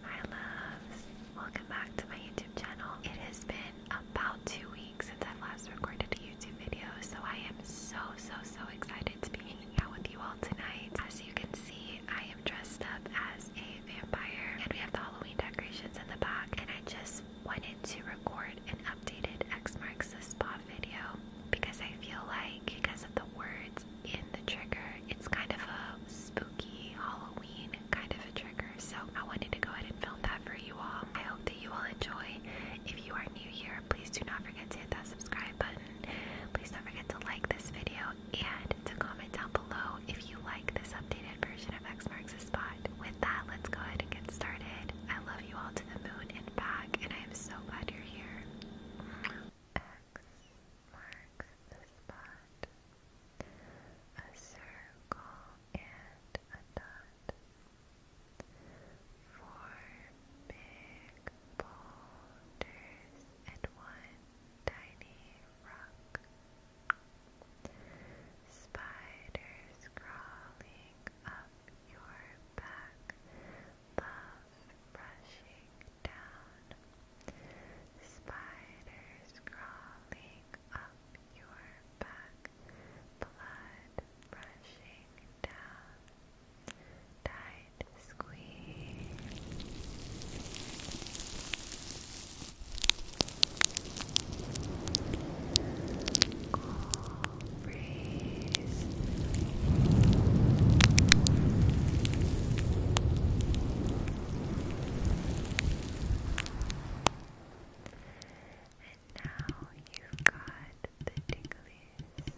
Hi loves, welcome back to my YouTube channel. It has been about two weeks since I have last recorded a YouTube video, so I am so, so, so excited to be hanging out with you all tonight. As you can see, I am dressed up as a vampire, and we have the Halloween decorations in the back, and I just wanted to record an updated X Marks the Spot video because I feel like because of the word words in the trigger. It's kind of a spooky Halloween kind of a trigger, so I wanted to go ahead and film that for you all. I hope that you all enjoy. If you are new here, please do not forget to hit that subscribe button. Please don't forget to like this video and to comment down below if you like this updated version of X Marks the Spot. With that, let's go ahead and get started. I love you all to the moon and back, and I am so glad you're here. X marks the spot a circle and a dot. Four big boulders and one tiny rock. Spiders crawling up your back, love brushing down, spiders crawling up your back, blood rushing down, tight squeeze, cool breeze. And now you've got the tinglies,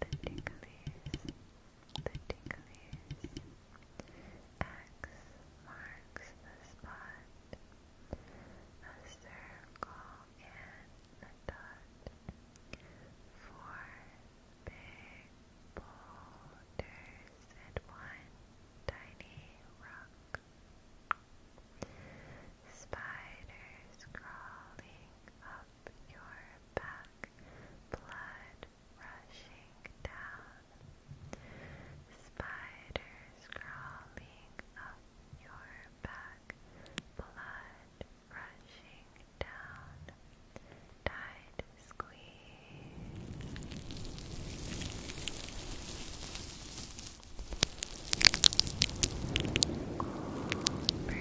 the tinglies, the tinglies. X marks the spot, a circle and a dot. Four big boulders and one tiny rock. Spiders crawling up your back, blood rushing down. Spiders crawling up your back, blood rushing down. Died squeeze. Cool And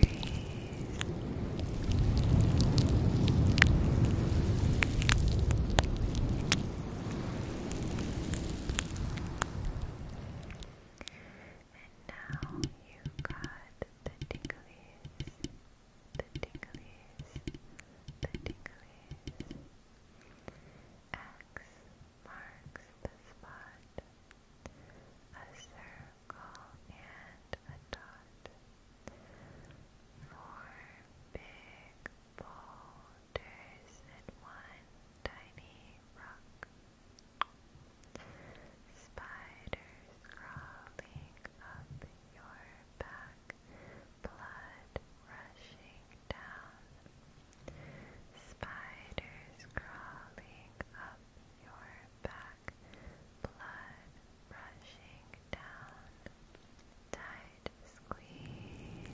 now you got the ticklies the ticklies, the ticklies. X marks the spot, a circle and a dot. Four big boulders and one tiny rock. Spiders crawling up your back blood rushing down, spiders crawling up your back, blood rushing down, tight squeeze.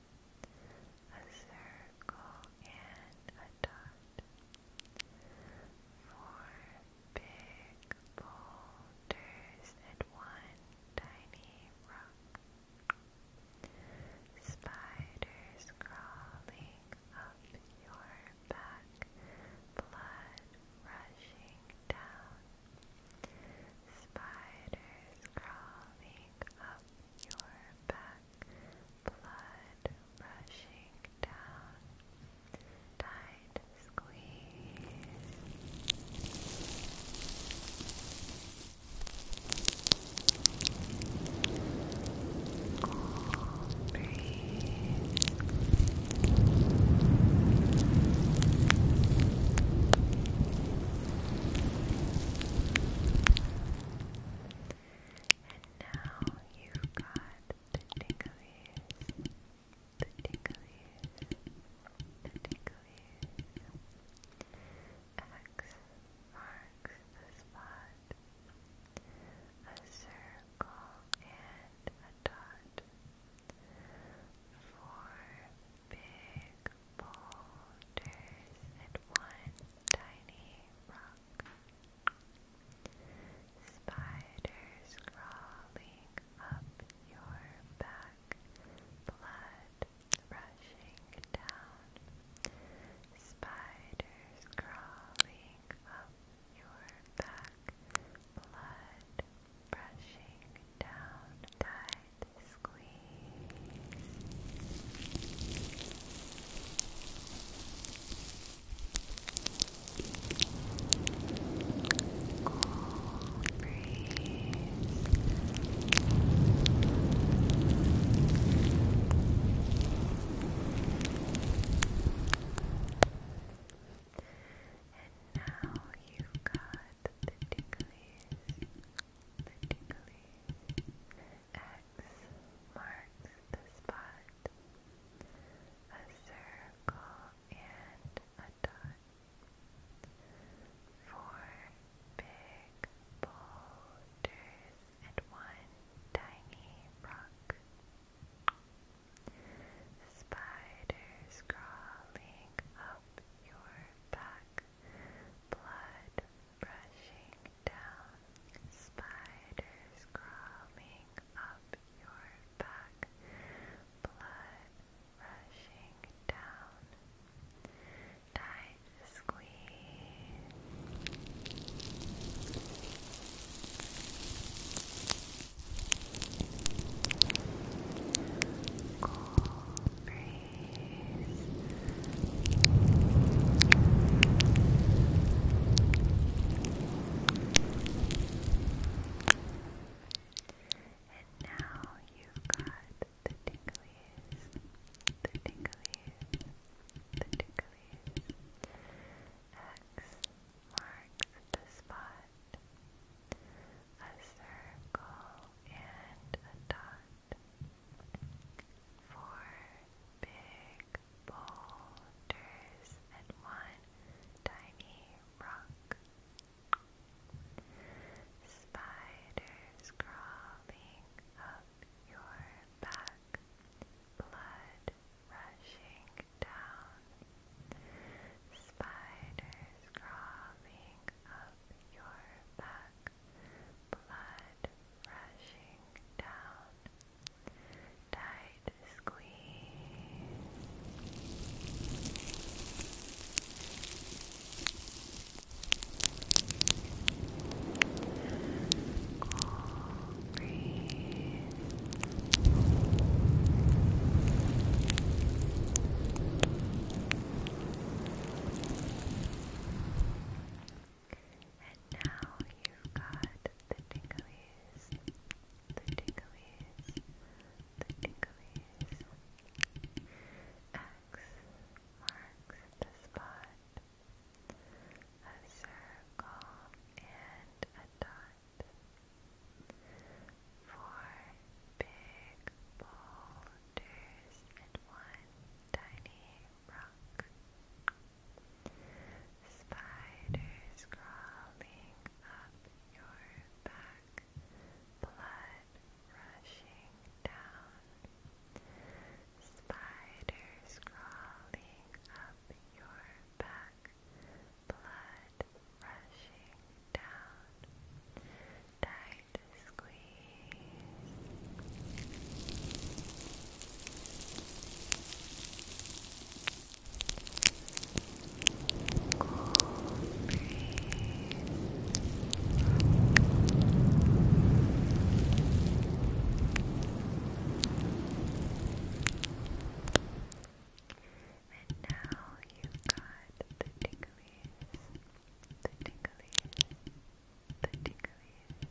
a circle and a dot. Four big boulders and one tiny rock. Spiders crawling up your back, blood rushing down. Spiders crawling up your back, blood rushing down. Tight squeeze. Cool breeze. And now you've got the ticklies, the ticklies, the ticklies. X marks the spot. A circle and a dot. Four big boulders and one tiny rock. Spiders crawling up your back, blood rushing down. Spiders crawling up your back, blood rushing down, tight squeeze. Cool breeze. And now you've got the ticklies. The tickly marks the spot. A circle and a dot. Four big boulders and one tiny rock. Spiders crawling up your back blood rushing down, spiders crawling up your back, blood rushing down. Tight squeeze. Cool breeze. And now you've got the tinglies, the tinglies, the tinglies. X marks the spot. A circle and a dot. Four big boulders and one tiny rock. Spiders crawling up your back, blood rushing down. Spiders crawling up your back, blood rushing down, tight squeeze, cool breeze. And now you've got the tinglies, the tinglies, the tinglies. X marks the spot. A circle and a dot. Four big balls wonders in one tiny rock. Spiders crawling up your back, blood rushing down. Spiders crawling up your back, blood rushing down. Diarrhea to squeeze. and now you've got the ticklies the tinglies, the tinglies.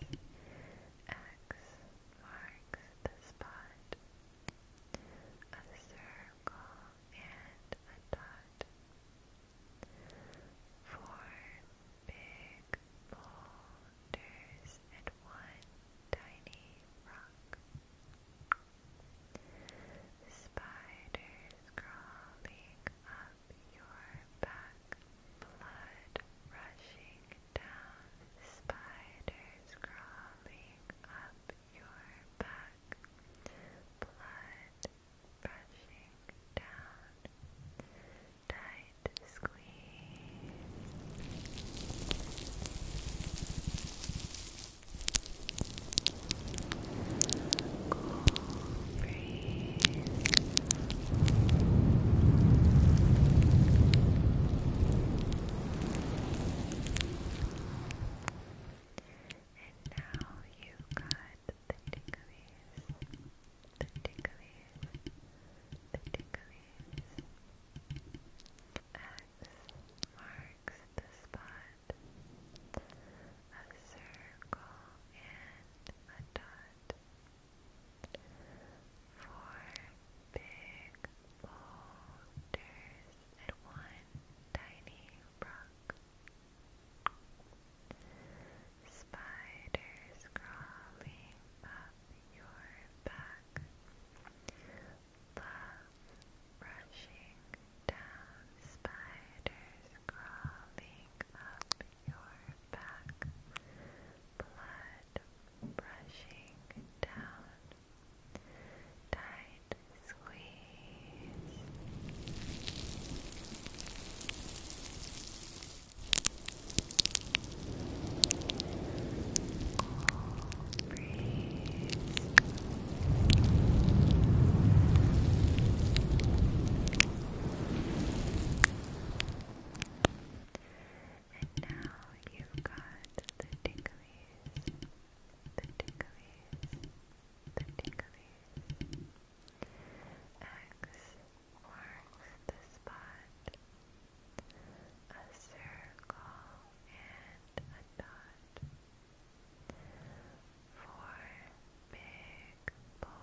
X marks the spot, a circle and a dot. Four big boulders and one tiny rock. Spiders crawling up your back, blood rushing down, spiders crawling up your back, blood rushing down, tight squeeze. And now you got the ticklies, the ticklies, the ticklies. X marks the spot a circle, and a dot. Four big boulders and one tiny rock. Spiders crawling up your back. Love rushing down, spiders crawling up your back, blood brushing down, tight squeeze. Cool and now you got the ticklies, the ticklies, the ticklies. X marks the spot, a circle and a dot. Four big boulders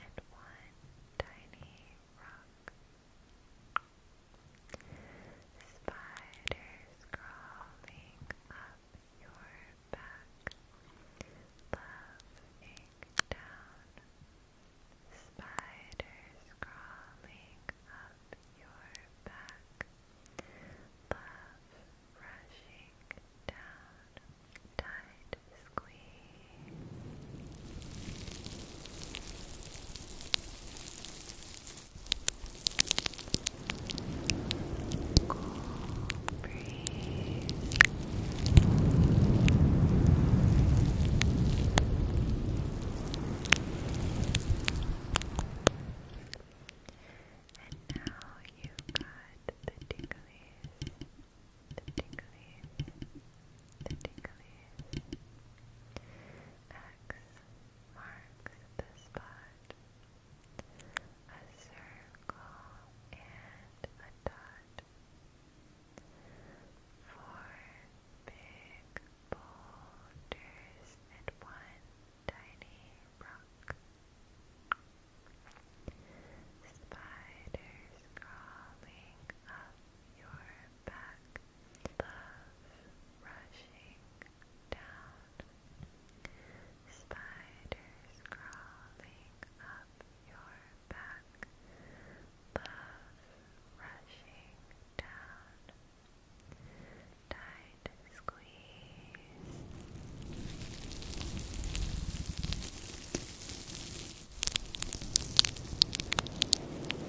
and one tiny rock. Spiders crawling up your back, loving down. Spiders crawling up your back, loving rushing down, tight squeeze, cool breeze. And now you got the ticklies, the ticklies, X marks the spot. A circle and a dot. Four big boulders at once tiny rock. Spiders crawling up your back, love rushing down. Spiders crawling up your back, love rushing down tight squeeze. Cool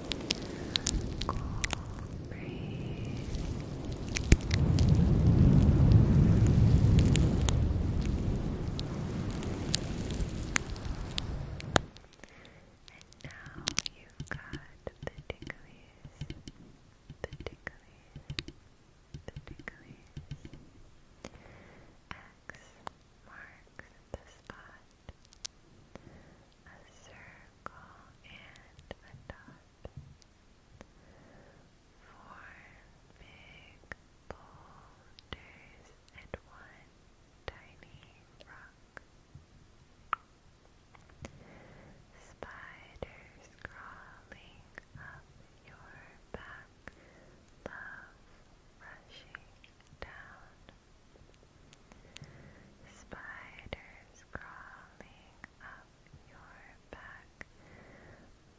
And now you've got the ticklies, the ticklies, particularly X marks the spot, a circle and a dot, four big boulders and one tiny rock. Spiders crawling up your back, love rushing down. Spiders crawling up your back,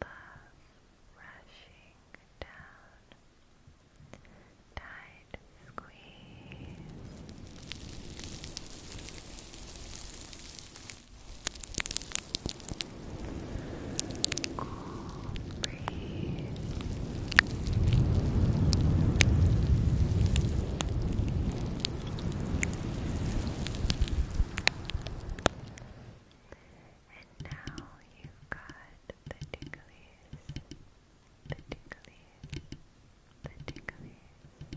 love rushing down. Tight squeeze. Cool And now you've got the ticklies, the ticklies, the ticklies.